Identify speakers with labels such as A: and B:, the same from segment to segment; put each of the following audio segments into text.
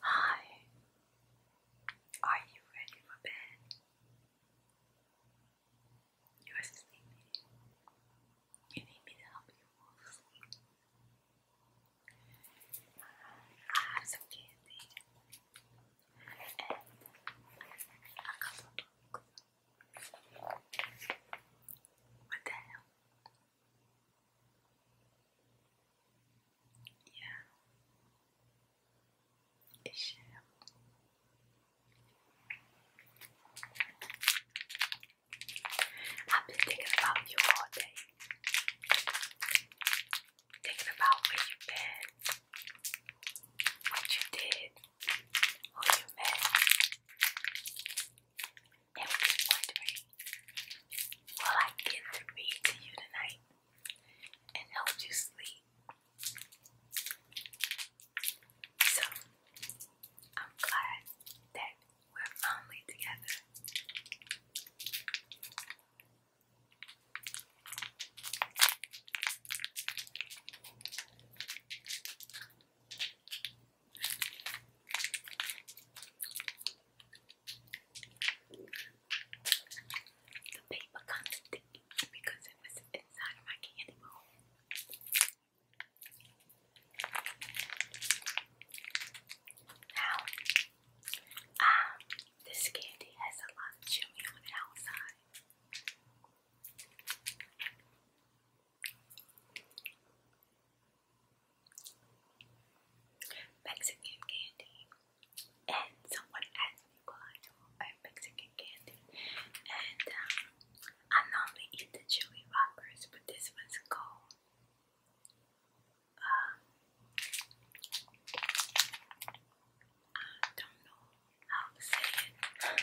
A: Hi, are you ready for bed? You are sleepy. You need me to help you fall asleep. I have some candy and a couple what the hell? Yeah. I've been thinking about you all day. Thinking about where you've been what you did, who you met, and was wondering, will I get to read to you tonight and help you sleep? So, I'm glad that we're finally together. The paper kind of sticky because it was inside my candy bowl. Now, um, this candy has a lot of chewy on the outside. Mexican candy, and someone asked me what I do Mexican candy, and um, I normally eat the chewy rockers, but this one's called um, I don't know how to say it.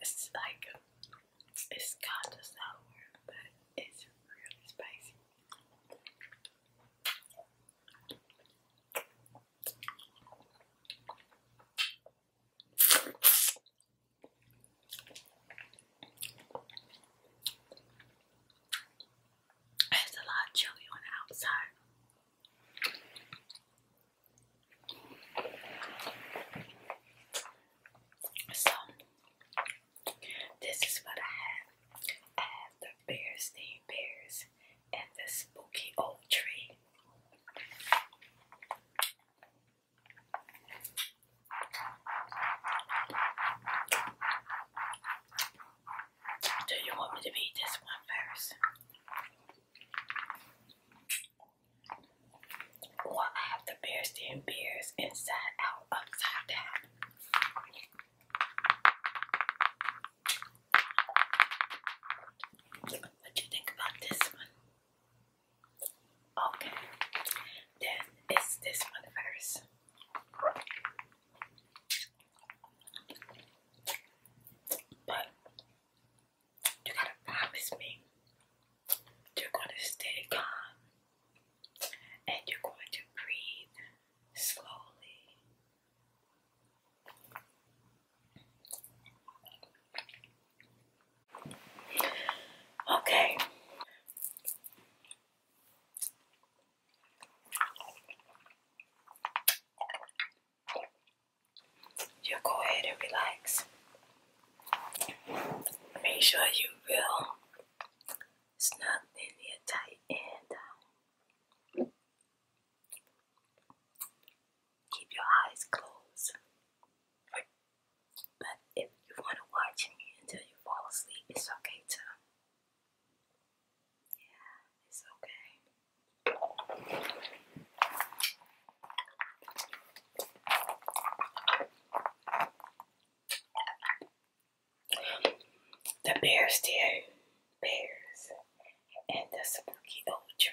A: It's like it's kind of sour, but it's really spicy. There's a lot of on the outside. So this is what I have. I have the bears, the bears, and the spooky old tree. Do you want me to read this one first? Or have the bears stand bears inside out, upside down. What do you think about this one? Okay, then it's this one first. But you gotta promise me you're gonna stay calm and you're going to breathe slowly. Okay. You go ahead and relax. Make sure you will snug in here tight and Keep your eyes closed. But if you want to watch me until you fall asleep, it's okay too. Yeah, it's okay. The bears stared bears and the spooky old tree.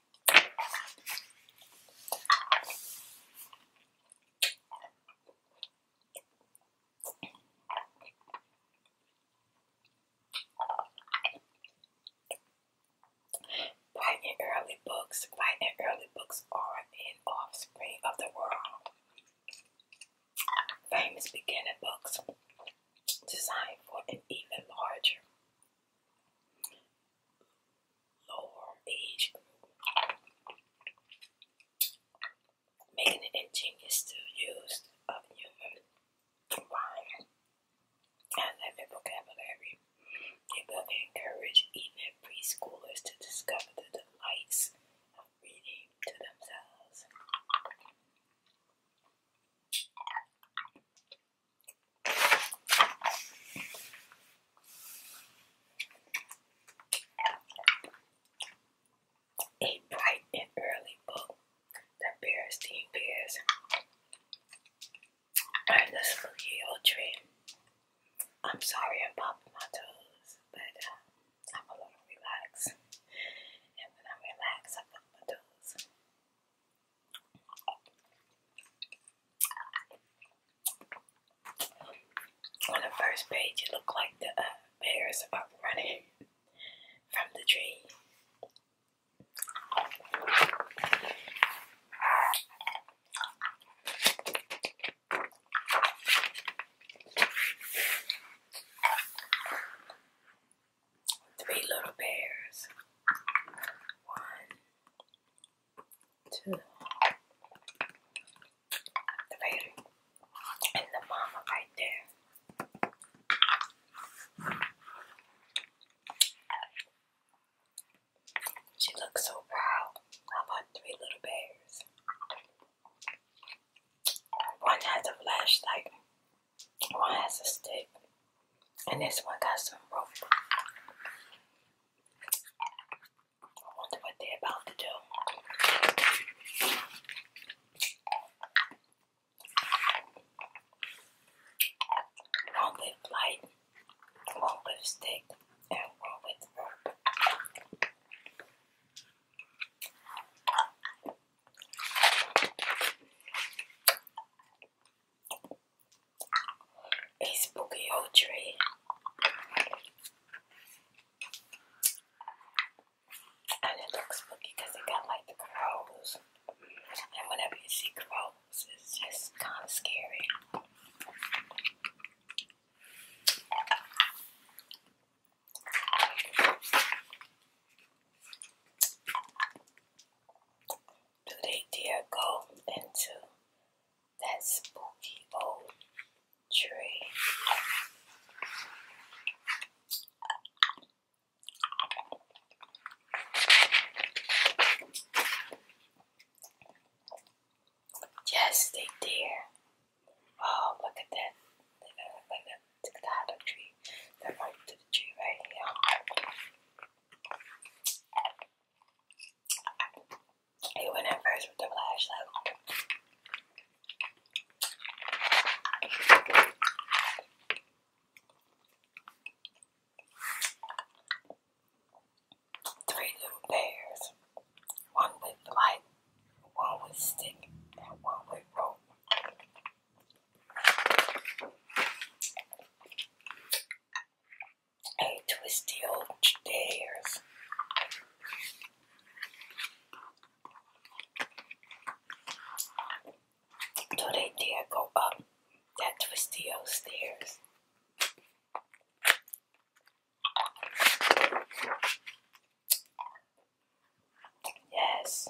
A: Bright early books. Bright early books are an offspring of the world. Famous beginner books designed for an even larger lower age group. Making it ingenious to use of human wine and living vocabulary. It will encourage even preschoolers to discover the delights of reading to themselves. A bright and early book, the Bearstein Bears, and the Spooky Old Tree. I'm sorry I'm popping my toes, but uh, I'm a little relaxed. And when I relax, I pop my toes. On the first page, it looked like the uh, bear is about running from the tree three little bears. One, two, the baby, and the mama right there. She looks so proud. I three little bears. One has a flashlight. One has a stick, and this one got some rope. I wonder what they're about to do. One with light, one with stick, and one with rope a spooky old tree. And it looks spooky it got like the crows. And whenever you see crows, it's just kind of scary do they dare go into that spooky old tree? Yes, they dare. Oh, look at that. look like a, look at the hollow tree. They're right to the tree right here. He went in first with the flashlight. Three little bears, one with light, one with stick, and one with rope. Hey, twisty old chairs. Do they go up that twisty old stairs? Yes.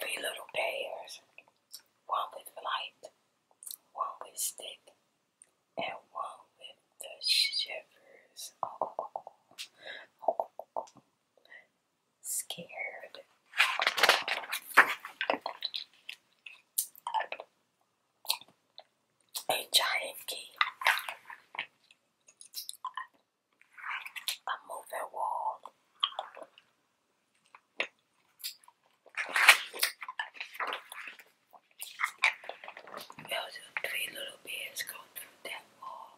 A: Three little bears, one with flight, one with stick, and one with the shivers. Oh, Scared a giant key, a moving wall, there three little bears going through that wall,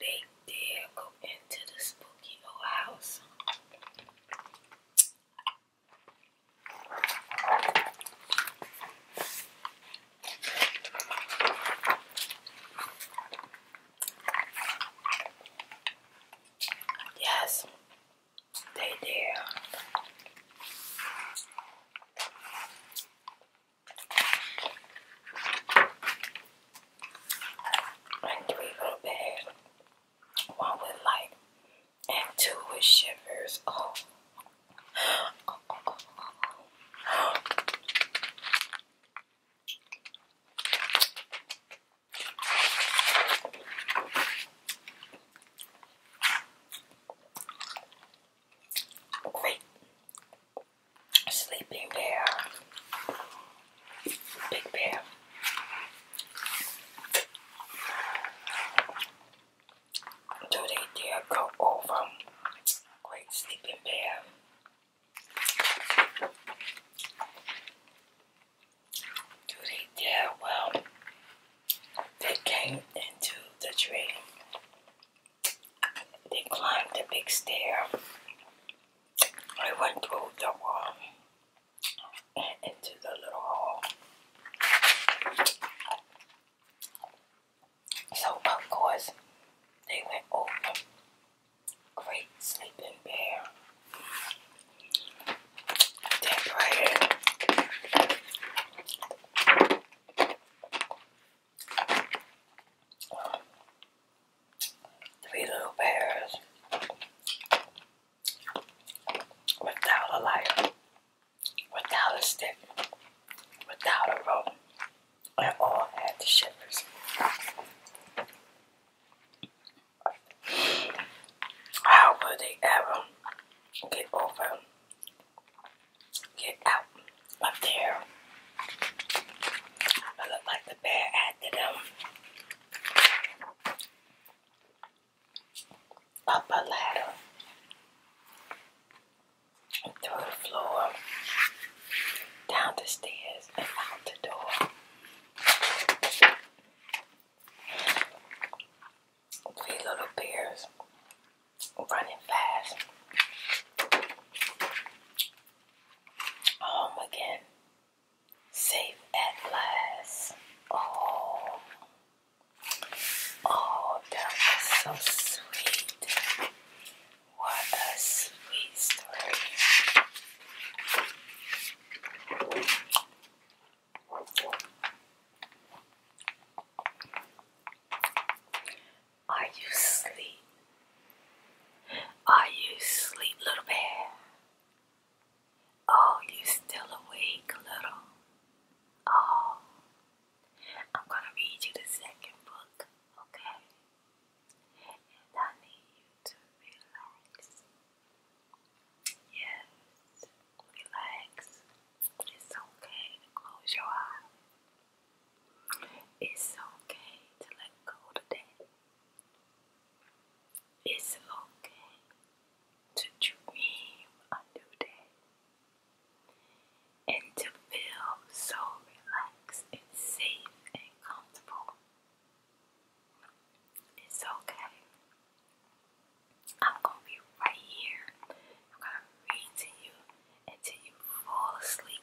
A: they dare go into the spooky old house. Yes, they did. And three little bags. One with like and two with shivers. Oh. Great sleeping bear, big bear. Do they dare go over Great Sleeping Bear? Do they dare? Well, they came into the tree. They climbed the big stair. I went through the wall into the little hole. So, of course, they went over Great Sleeping Bear. That prayer. Three little bears without a lighter, without a stick, without a rope, and all had the shivers. How would they ever get over, get out of there? I look like the bear after them up a ladder and through the floor, down the stairs, and out the door. Three little bears running fast. Home again. Safe at last. Oh, oh, that was so sweet. What a sweet story. Are you asleep? Are you asleep, little bear? Oh, you still awake, little? Oh, I'm gonna read you the second book, okay? And I need you to relax. Yes, relax. It's okay to close your eyes. It's okay to let go today. It's okay to dream a new and to feel so relaxed and safe and comfortable. It's okay. I'm going to be right here. I'm going to read to you until you fall asleep.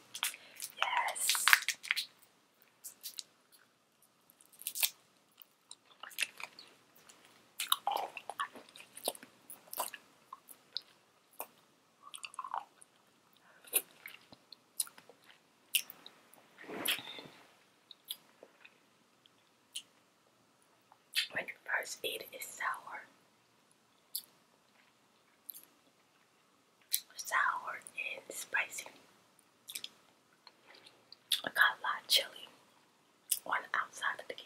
A: Yes. When you first eat it's sour, sour and spicy. I got a lot of chili on outside of the candy.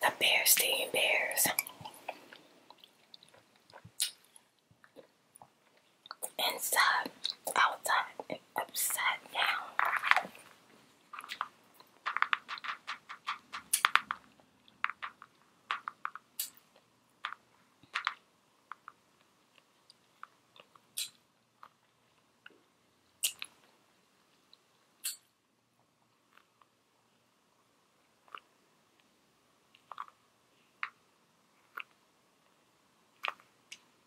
A: The Bearstein Bears inside, outside, and upside down.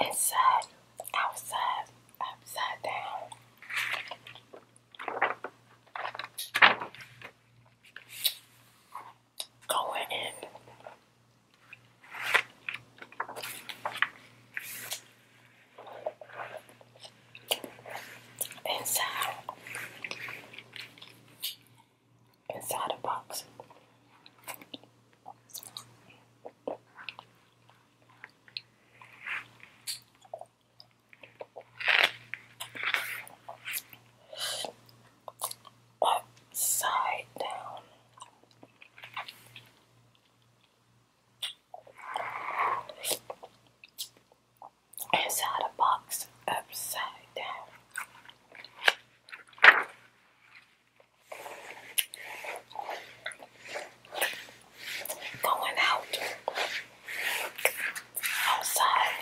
A: Inside, outside, upside down. Going in inside inside a box. Upside down inside a box upside down. Going out outside.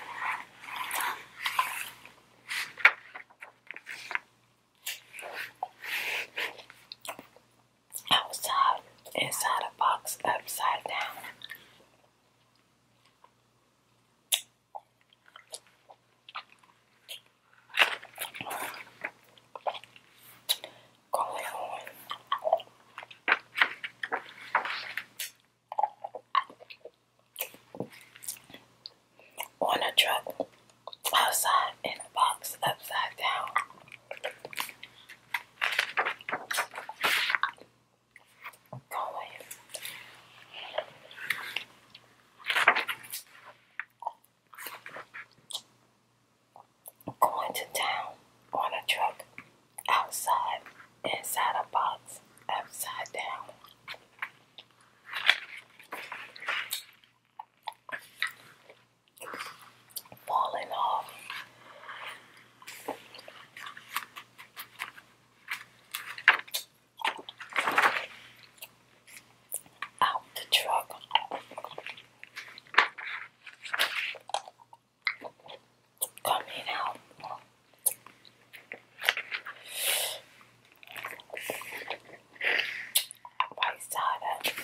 A: Outside, inside a box upside down. Con on a truck outside in a box upside down. Galway. Going to town on a truck, outside, inside a box, upside down. Falling off, out the truck. Coming out. I saw that.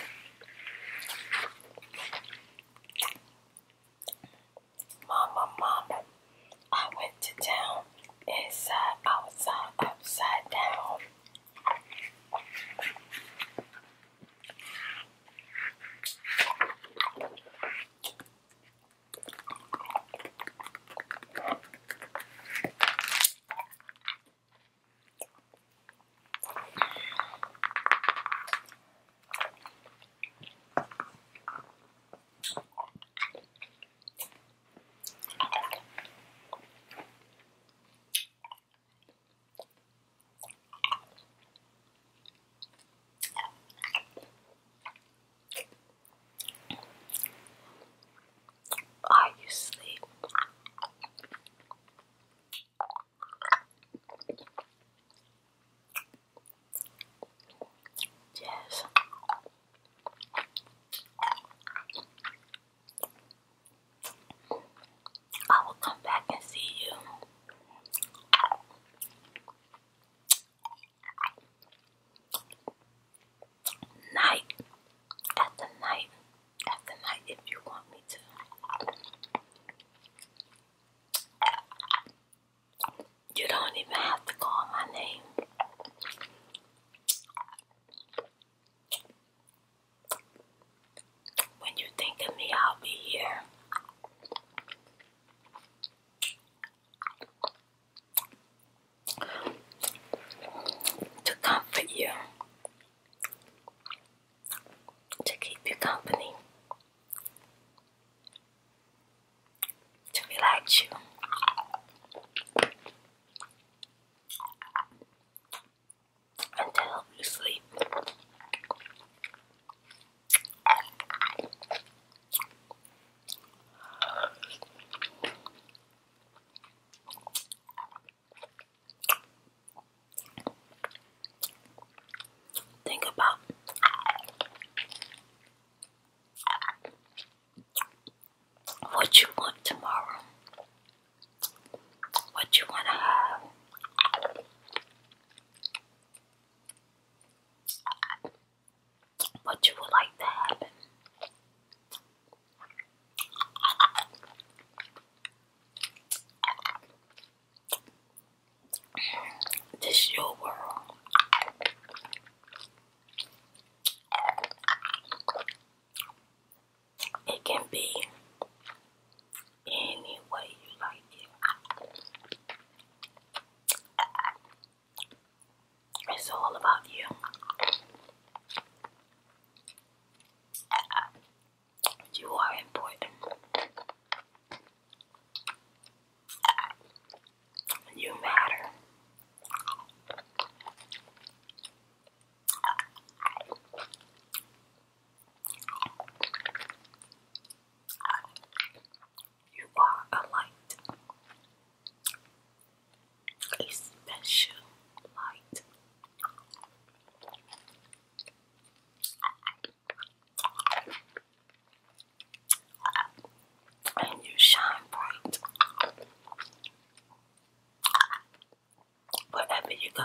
A: Mama, mama, I went to town, inside, uh, outside, upside down. Are you asleep? Yes. I will come back and see you. Night after night after night, if you want me to. You don't even have to call my name. When you think of me, I'll be here. To comfort you, to keep you company, to relax you. And to help you sleep. Think about what you want tomorrow, what you want to have. What you would like to happen. This your world. It can be any way you like It's all about you. You are important. You matter. You are a light, a special light and you shine bright wherever you go.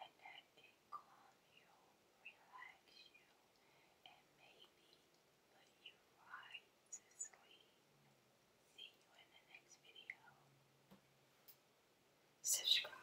A: and that it calm you, relax you, and maybe you right to sleep. See you in the next video. Subscribe.